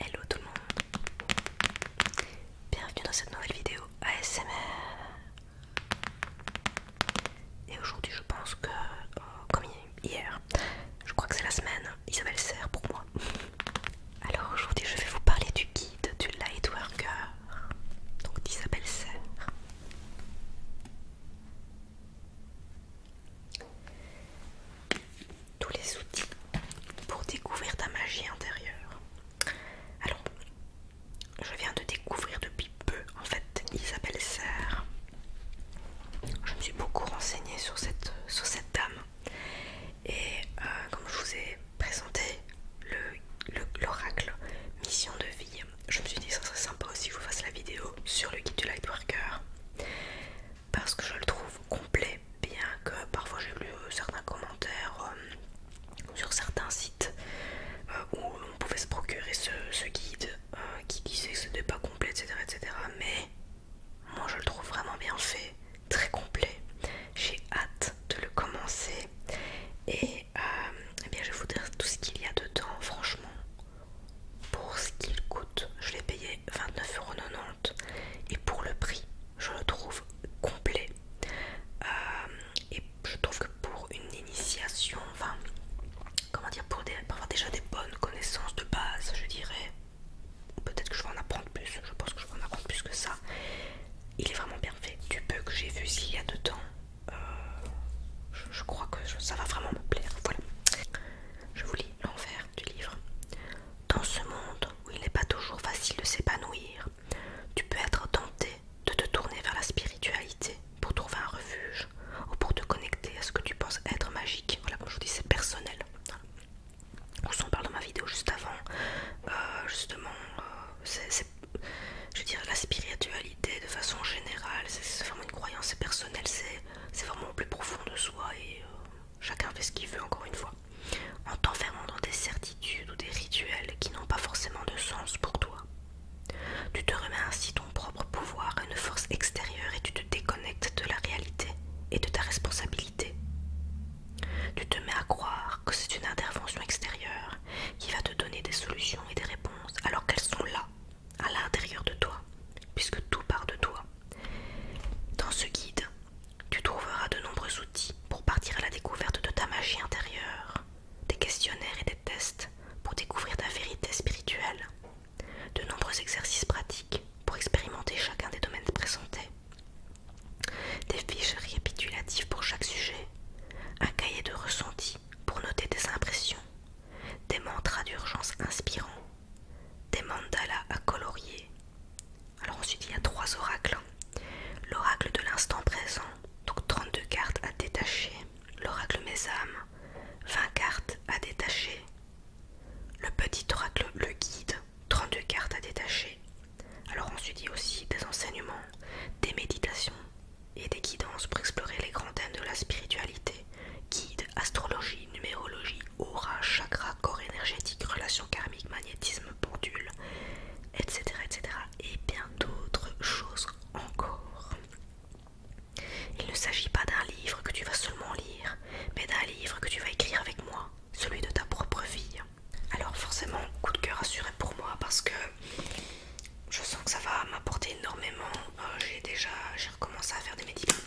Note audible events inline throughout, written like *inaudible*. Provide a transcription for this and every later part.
Hello tout le monde Bienvenue dans cette nouvelle vidéo ASMR Et aujourd'hui je pense que, euh, comme hier, je crois que c'est la semaine, Isabelle Serre pour moi *laughs* Alors aujourd'hui je vais vous parler du guide du Lightworker Donc d'Isabelle Serre tous les outils pour découvrir ta magie intérieure. Alors, je viens de découvrir depuis peu, en fait, Isabelle Serre. Je me suis beaucoup renseignée sur cette, sur cette dame. Et euh, comme je vous ai présenté l'oracle Mission de vie, je me suis dit que ça serait sympa aussi je vous fasse la vidéo sur le guide du Lightworker parce que je le trouve complet, bien que parfois j'ai lu euh, certains commentaires euh, sur certains sites euh, où on pouvait se procurer ce, guide qui disait que ce n'était pas complet, etc., etc. Mais moi je le trouve vraiment bien fait, très complet. J'ai hâte de le commencer et eh bien, je vais vous dire tout ce qu'il y a dedans. Franchement, pour ce qu'il coûte, je l'ai payé 29,90€ et pour le prix, je le trouve complet. Euh, et je trouve que pour une initiation, enfin, comment dire, pour, avoir déjà des bonnes connaissances de base, je dirais, peut-être que je vais en apprendre plus, je pense que je vais en apprendre plus que ça. Il est vraiment bien fait. Du peu que j'ai vu s'il y a dedans, euh, je, crois que ça va vraiment me plaire. Voilà. Je vous lis l'envers du livre. Dans ce monde où il n'est pas toujours facile de s'épanouir, tu peux être tenté de te tourner vers la spiritualité pour trouver un refuge ou pour te connecter à ce que tu penses être magique. Voilà, comme je vous dis, c'est personnel. On s'en parle dans ma vidéo juste avant. Euh, justement, euh, c'est, je veux dire, la spiritualité de façon générale, c'est vraiment une croyance, personnelle, personnel, c'est c'est vraiment au plus profond de soi et euh, chacun fait ce qu'il veut encore une fois. En t'enfermant dans des certitudes ou des rituels qui n'ont pas forcément de sens pour toi. Tu te remets ainsi ton propre pouvoir à une force extérieure et tu te déconnectes de la réalité et de ta responsabilité. Tu te mets à croire que c'est une intervention extérieure qui va te donner des solutions et des réponses alors qu'elles sont là à l'intérieur de toi, puisque tout part de toi. Dans ce guide, tu trouveras de nombreux outils pour partir à la découverte de ta magie intérieure, des questionnaires et des tests pour découvrir ta vérité spirituelle, de nombreux exercices pratiques pour expérimenter chacun des domaines présentés, des fiches récapitulatives pour chaque sujet, un cahier de ressentis pour noter tes impressions, des mantras d'urgence inspirants, des mandalas à colorier. Alors on il y a trois oracles. Hein. L'oracle de l'instant présent, donc 32 cartes à détacher. L'oracle mes âmes, 20 cartes à détacher. Le petit oracle, le guide, 32 cartes à détacher. Alors on se dit aussi des enseignements, des méditations, et des guidances pour explorer les grands thèmes de la spiritualité guides, astrologie, numérologie, aura, chakra, corps énergétique, relations karmiques, magnétisme, pendule, etc. etc. et bien d'autres choses encore. Il ne s'agit pas d'un livre que tu vas seulement lire, mais d'un livre que tu vas écrire avec moi, celui de ta propre vie. Alors forcément, coup de cœur assuré pour moi parce que je sens que ça va m'apporter énormément. Euh, j'ai déjà recommencé à faire des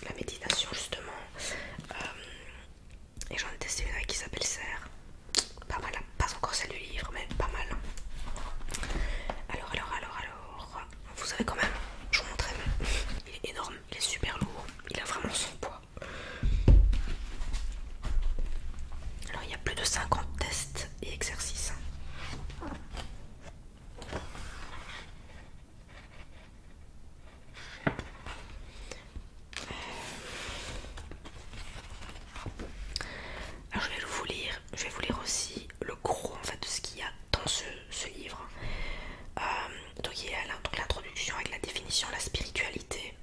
la méditation justement. Euh, et j'en ai testé une avec qui s'appelle Serre. Pas mal, pas encore celle du livre, mais pas mal. Alors, alors, alors, alors. Vous savez quand même, je vous montrerai. il est énorme, il est super lourd, il a vraiment son poids. Alors il y a plus de 50 tests et exercices. Alors je vais vous lire, je vais vous lire aussi le gros de ce qu'il y a dans ce, livre. Euh, donc il y a l'introduction avec la définition, de la spiritualité.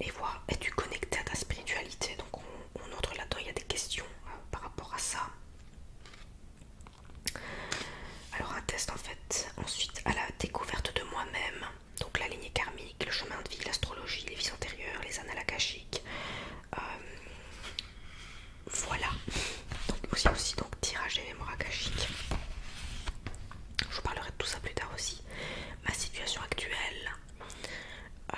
Et voir, es-tu connecté à ta spiritualité on entre là-dedans, il y a des questions euh, par rapport à ça. Alors un test en fait, ensuite à la découverte de moi-même, donc la lignée karmique, le chemin de vie, l'astrologie, les vies antérieures, les annales akashiques. Euh, voilà. Donc aussi aussi donc tirage des mémoires akashiques. Je vous parlerai de tout ça plus tard aussi. Ma situation actuelle. Euh,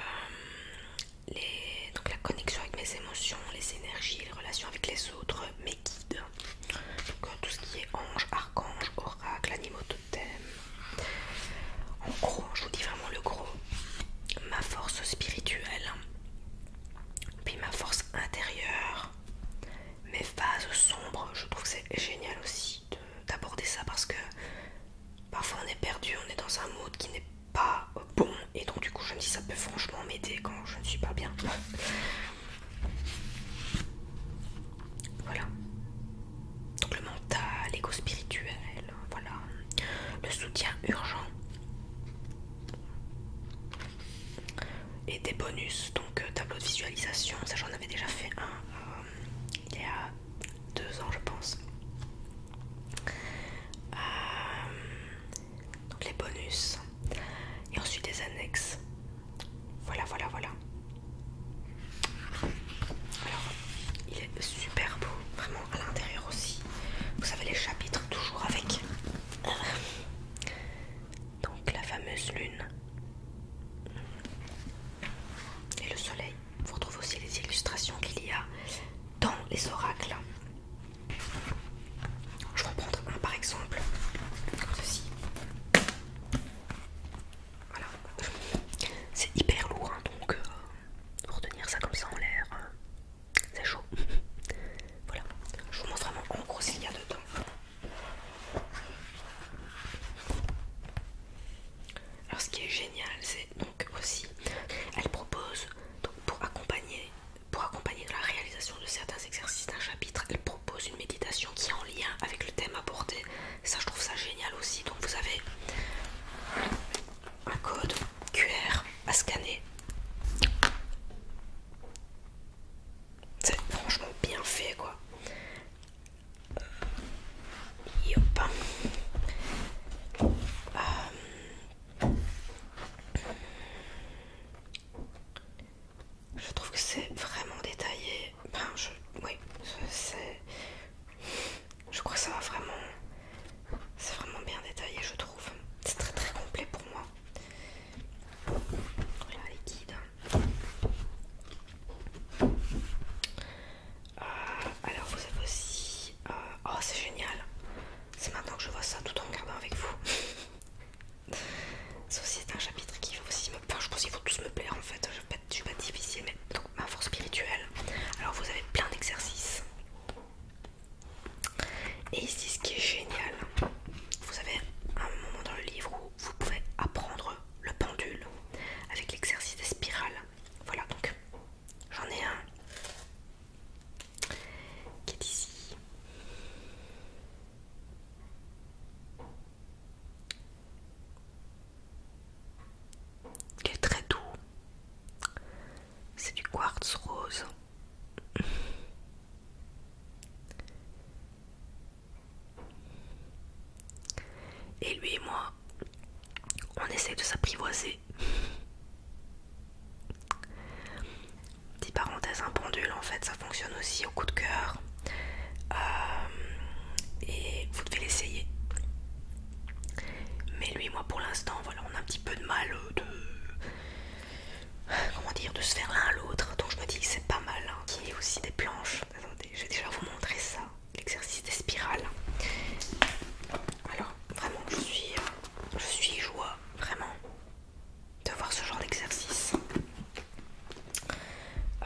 donc la connexion avec mes émotions, les énergies, les relations avec les autres, mes guides. Donc euh, tout ce qui est ange, archange, oracle, animaux totem. En gros, je vous dis vraiment le gros. Ma force spirituelle, puis ma force intérieure, mes phases sombres. Je trouve que c'est génial aussi d'aborder ça parce que parfois on est perdu, on est dans un mode qui n'est pas pas bon et donc du coup je me dis ça peut franchement m'aider quand je ne suis pas bien. Voilà. Donc le mental, égo spirituel, voilà. Le soutien urgent. Et des bonus, donc euh, tableau de visualisation, ça j'en avais déjà fait un euh, il y a deux ans je pense. Euh, donc les bonus et ensuite les annexes. Voilà, voilà, voilà. Alors, il est super beau, vraiment à l'intérieur aussi. Vous savez les chapitres toujours avec. Donc la fameuse lune et le soleil. Vous retrouvez aussi les illustrations qu'il y a dans les oracles. Je vais en prendre un par exemple, comme ceci. Voilà, c'est hyper lourd hein, donc euh, pour tenir ça comme ça en l'air, hein, c'est chaud. *laughs* voilà, je vous montre vraiment en gros ce qu'il y a dedans. Alors ce qui est génial, c'est donc aussi elle propose pour accompagner pour accompagner la réalisation de certains exercices d'un chapitre elle propose une méditation qui est en lien avec le thème abordé ça je trouve ça génial aussi donc vous avez un code QR à scanner c'est franchement bien fait quoi yop. Euh, je trouve que c'est vraiment détaillé. Ben, je, oui, c'est. Je crois que ça va vraiment. C'est vraiment bien détaillé, je trouve. C'est très très complet pour moi. Voilà les guides. Euh, alors vous avez aussi... Euh, oh c'est génial C'est maintenant que je vois ça tout en regardant avec vous. ça aussi c'est un chapitre qui va aussi me... je pense qu'il faut tous me plaire en fait. Je ne suis pas difficile mais... Donc ma force spirituelle. Alors vous avez plein d'exercices. Et ici ce qui est génial, vous avez un moment dans le livre où vous pouvez apprendre le pendule avec l'exercice des spirales. Voilà donc j'en ai un qui est ici. Il est très doux. C'est du quartz rose. Et lui et moi, on essaie de s'apprivoiser. Petite parenthèse, un pendule en fait ça fonctionne aussi au coup de cœur. Euh, et vous devez l'essayer. Mais lui, moi pour l'instant, voilà, on a un petit peu de mal euh, de. Comment dire, de se faire l'un à l'autre. Donc je me dis c'est pas mal. Il hein, Qu'il y ait aussi des planches. Attendez, je vais déjà vous montrer ça. L'exercice des spirales. Alors, Vraiment, je suis, euh, je suis joie, vraiment, de voir ce genre d'exercice. Euh,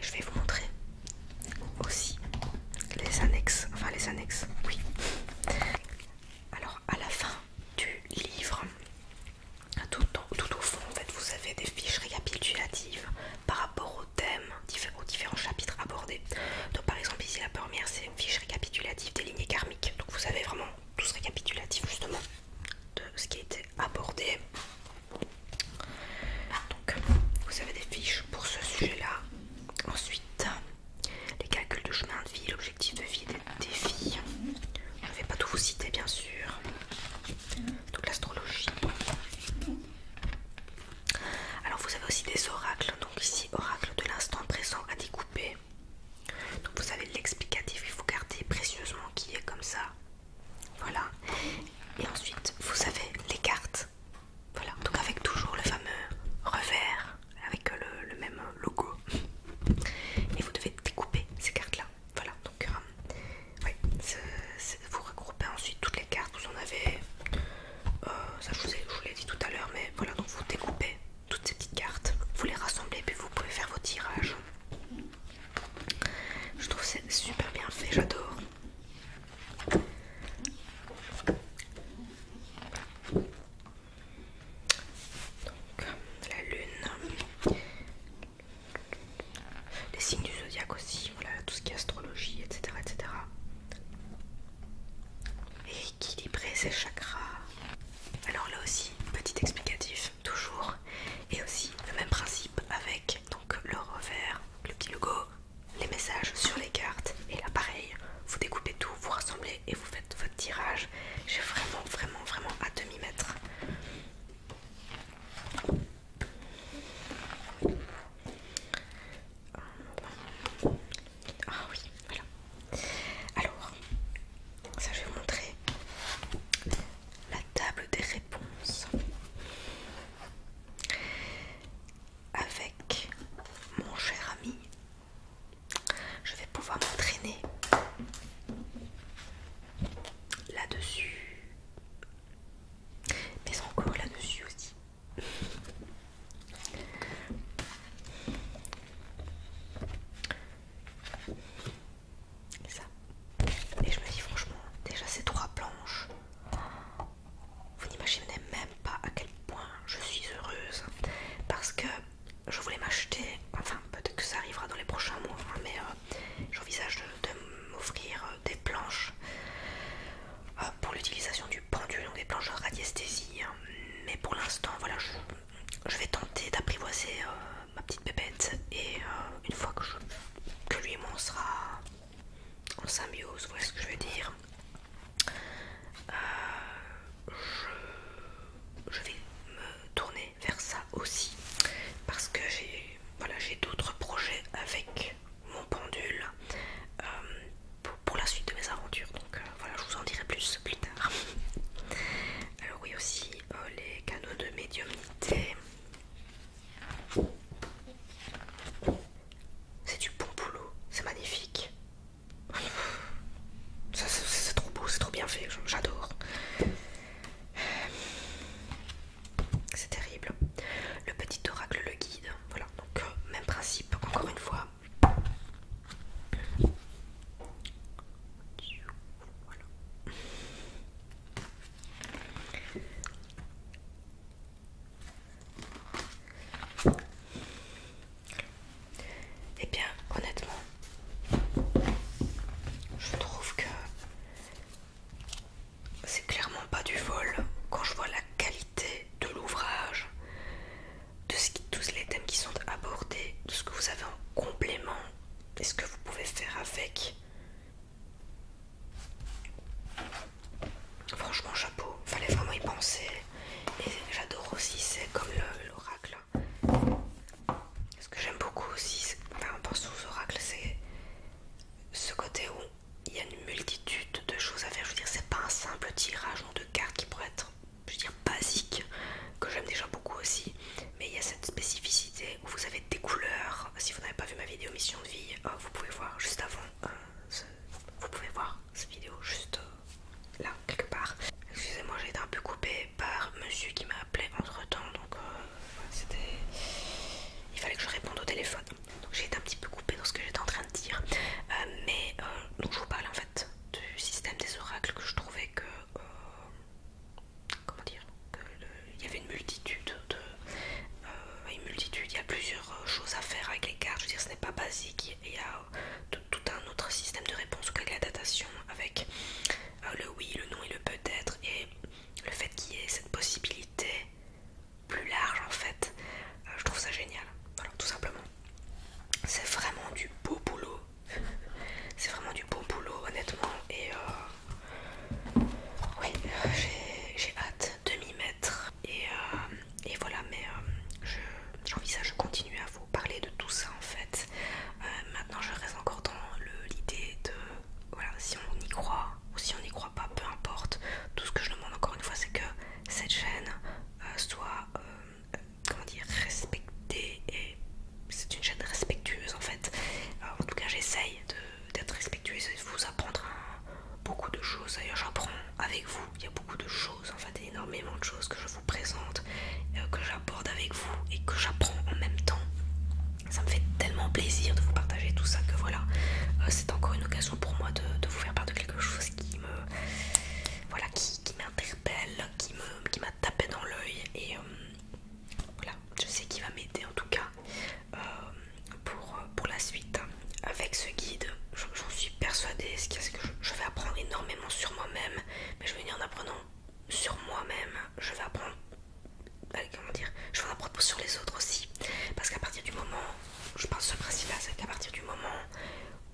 je vais vous montrer aussi les annexes, enfin les annexes, oui. Alors à la fin du livre, tout, au fond en fait vous avez des fiches récapitulatives par rapport thèmes, aux différents chapitres abordés. Donc par exemple ici la première c'est une fiche récapitulative des lignées karmiques. Donc vous avez vraiment tout ce récapitulatif justement de ce qui a été abordé. Ah, donc vous avez des fiches pour ce sujet-là. Ensuite, les calculs de chemin de vie, l'objectif de vie des défis. Je ne vais pas tout vous citer bien sûr. Donc l'astrologie. Alors vous avez aussi des oracles, donc ici oracle de l'instant présent à découper. Donc vous avez l'explicatif il faut garder précieusement qui est comme ça. Voilà. Et ensuite vous avez les cartes. Voilà. Donc avec toujours le fameux revers avec le même logo. Et vous devez découper ces cartes-là. Voilà, donc euh, vous regroupez ensuite toutes les cartes, vous en avez, euh, ça je vous, l'ai dit tout à l'heure, mais voilà, donc vous découpez toutes ces petites cartes, vous les rassemblez, puis vous pouvez faire vos tirages. Je trouve c'est super bien fait, j'adore. Donc, la lune, les signes du zodiaque aussi, voilà, tout ce qui est astrologie, etc. etc. équilibrer ses chakras. Alors là aussi, petit explicatif, toujours. Et aussi le même principe avec donc le revers, le petit logo, les messages sur les cartes. Et là pareil, vous découpez tout, vous rassemblez et vous faites votre tirage. J'ai vraiment, vraiment, vraiment à demi-mètre. Ah Alors, ça je vais vous montrer la table des réponses avec mon cher ami. Je vais pouvoir m'entraîner là-dessus mais encore là-dessus aussi. Ça. Et je me dis franchement, déjà ces trois planches, vous n'imaginez même pas à quel point je suis heureuse parce que je voulais m'acheter, enfin peut-être que ça arrivera dans les prochains mois, hein, mais euh, j'envisage de m'offrir euh, des planches ah, pour l'utilisation du pendule, donc des planches radiesthésie. Hein. Mais pour l'instant, voilà, je, vais tenter d'apprivoiser euh, ma petite bébête et euh, une fois que, je, lui et on sera en symbiose, voyez ce que je veux dire. Euh, je, vais me tourner vers ça aussi parce que j'ai eu voilà, j'ai d'autres projets avec mon pendule euh, pour, la suite de mes aventures. Donc euh, voilà, je vous en dirai plus plus tard. *laughs* Alors oui aussi euh, les canaux de médiumnité. C'est du bon boulot, c'est magnifique. *laughs* C'est trop beau, c'est trop bien fait, j'adore c'est terrible. Le petit oracle le guide, voilà, donc euh, même principe, encore une fois. Et eh bien honnêtement, je trouve que c'est clairement pas du vol quand je vois la qualité de l'ouvrage, de tous les thèmes qui sont abordés, de ce que vous avez en complément et ce que vous pouvez faire avec. Franchement, chapeau, fallait vraiment y penser. Et j'adore aussi, c'est comme l'oracle. Ce que j'aime beaucoup aussi, enfin, on pense aux oracles, c'est ce côté où il y a une multitude de choses à faire. Je veux dire, c'est pas un simple tirage de cartes qui pourrait être, je veux dire, basique, que j'aime déjà beaucoup aussi. Mais il y a cette spécificité où vous avez des couleurs. Si vous n'avez pas vu ma vidéo Mission de vie, euh, vous pouvez voir juste avant. Euh, vous pouvez voir cette vidéo juste euh, là, quelque part. Excusez-moi, j'ai été un peu coupée par monsieur qui m'a appelé entre temps, donc il fallait que je réponde au téléphone. Donc j'ai été un petit peu coupée dans ce que j'étais en train de dire. Euh, mais euh, donc je vous parle en fait du système des oracles que je trouvais que... Euh, comment dire Il y avait une multitude de... il y a plusieurs choses à faire avec les cartes. Je veux dire, ce n'est pas basique. Il y a tout, un autre système de réponse, avec la datation avec le oui, le non et le peut-être le fait qu'il y ait cette possibilité plus large en fait, euh, je trouve ça génial. Voilà, tout simplement. C'est vraiment du beau boulot. *laughs* C'est vraiment du beau boulot, honnêtement. Et euh, oui, j'ai hâte de m'y mettre. Et, euh, voilà, mais j'envisage de continuer à vous parler de tout ça en fait. maintenant, je reste encore l'idée de voilà, si on y croit ou si on n'y croit pas, peu importe. Tout ce que je demande encore une fois, c'est que cette chaîne euh, soit euh, comment dire respectée et c'est une chaîne respectueuse en fait. Euh, en tout cas, j'essaye d'être respectueuse et de vous apprendre beaucoup de choses. D'ailleurs, j'apprends avec vous. Il y a beaucoup de choses en fait, énormément de choses que je vous présente, que j'aborde avec vous et que j'apprends en même temps ça me fait tellement plaisir de vous partager tout ça que voilà, euh, c'est encore une occasion pour moi de, vous faire part de quelque chose qui me voilà qui, m'interpelle, qui me m'a tapé dans l'œil et euh, voilà, je sais qu'il va m'aider en tout cas euh, pour, pour la suite avec ce guide. J'en suis persuadée, ce que je vais apprendre énormément sur moi-même, mais je vais venir en apprenant sur moi-même, je vais apprendre. comment dire Je vais apprendre sur les autres aussi. Parce qu'à partir du moment, je pense ce principe-là, c'est qu'à partir du moment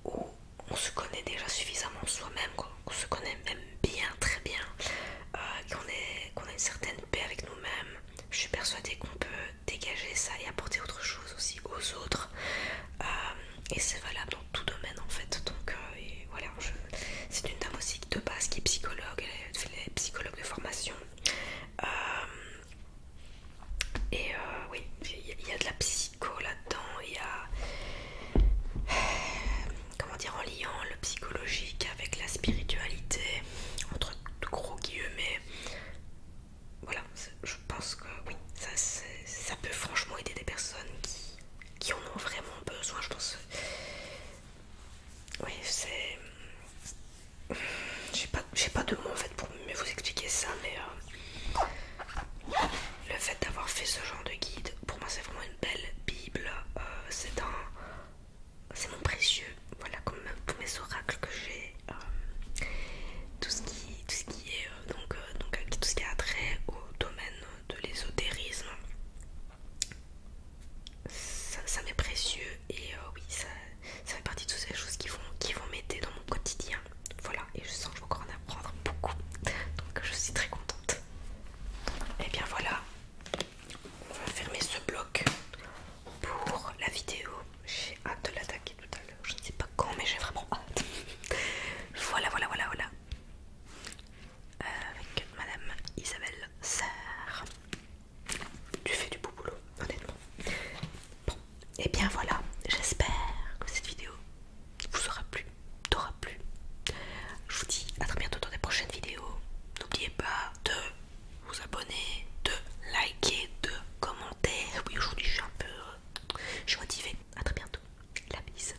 où on se connaît déjà suffisamment soi-même, qu'on se connaît même bien, très bien, euh, qu'on a une certaine paix avec nous-mêmes, je suis persuadée qu'on peut dégager ça et apporter autre chose aussi aux autres. Euh, et c'est valable dans tout domaine en fait. Donc euh, et voilà, je, c'est une dame aussi de base qui est psychologue, elle est psychologue de formation. Euh, et euh, oui, il y a de la psycho là-dedans, il y a. *sighs* Comment dire, en liant le psychologique avec la spiritualité, entre gros guillemets. Voilà, je pense que oui, ça, peut franchement aider des personnes qui en ont vraiment besoin. Je pense oui, c'est. J'ai pas, pas de mots en fait pour mieux vous expliquer ça, mais euh, le fait d'avoir fait ce genre de guide, pour moi c'est vraiment une belle Bible. Euh, c'est un. C'est mon précieux, voilà, comme tous mes oracles que j'ai. Euh, tout, ce qui, ce qui est. donc, donc, tout ce qui a trait au domaine de l'ésotérisme ça, m'est précieux et euh, oui, ça, fait partie de toutes ces choses qui vont, qui vont m'aider dans mon quotidien. Voilà, et je sens que je vais encore en apprendre beaucoup. Donc je suis très contente. Et eh bien voilà, on va fermer ce bloc pour la vidéo. J'ai hâte de l'attaquer tout à l'heure. Je ne sais pas quand, mais j'ai vraiment hâte. *laughs* voilà, voilà, voilà, voilà. Euh, avec Madame Isabelle Sarr. Tu fais du beau boulot, honnêtement. Bon, et eh bien voilà, j'espère que cette vidéo vous aura plu, t'aura plu. Je vous dis à très bientôt dans des prochaines vidéos. N'oubliez pas de vous abonner, de liker, de commenter. Oui, aujourd'hui je suis un peu. Je suis motivée. A très bientôt. La bise.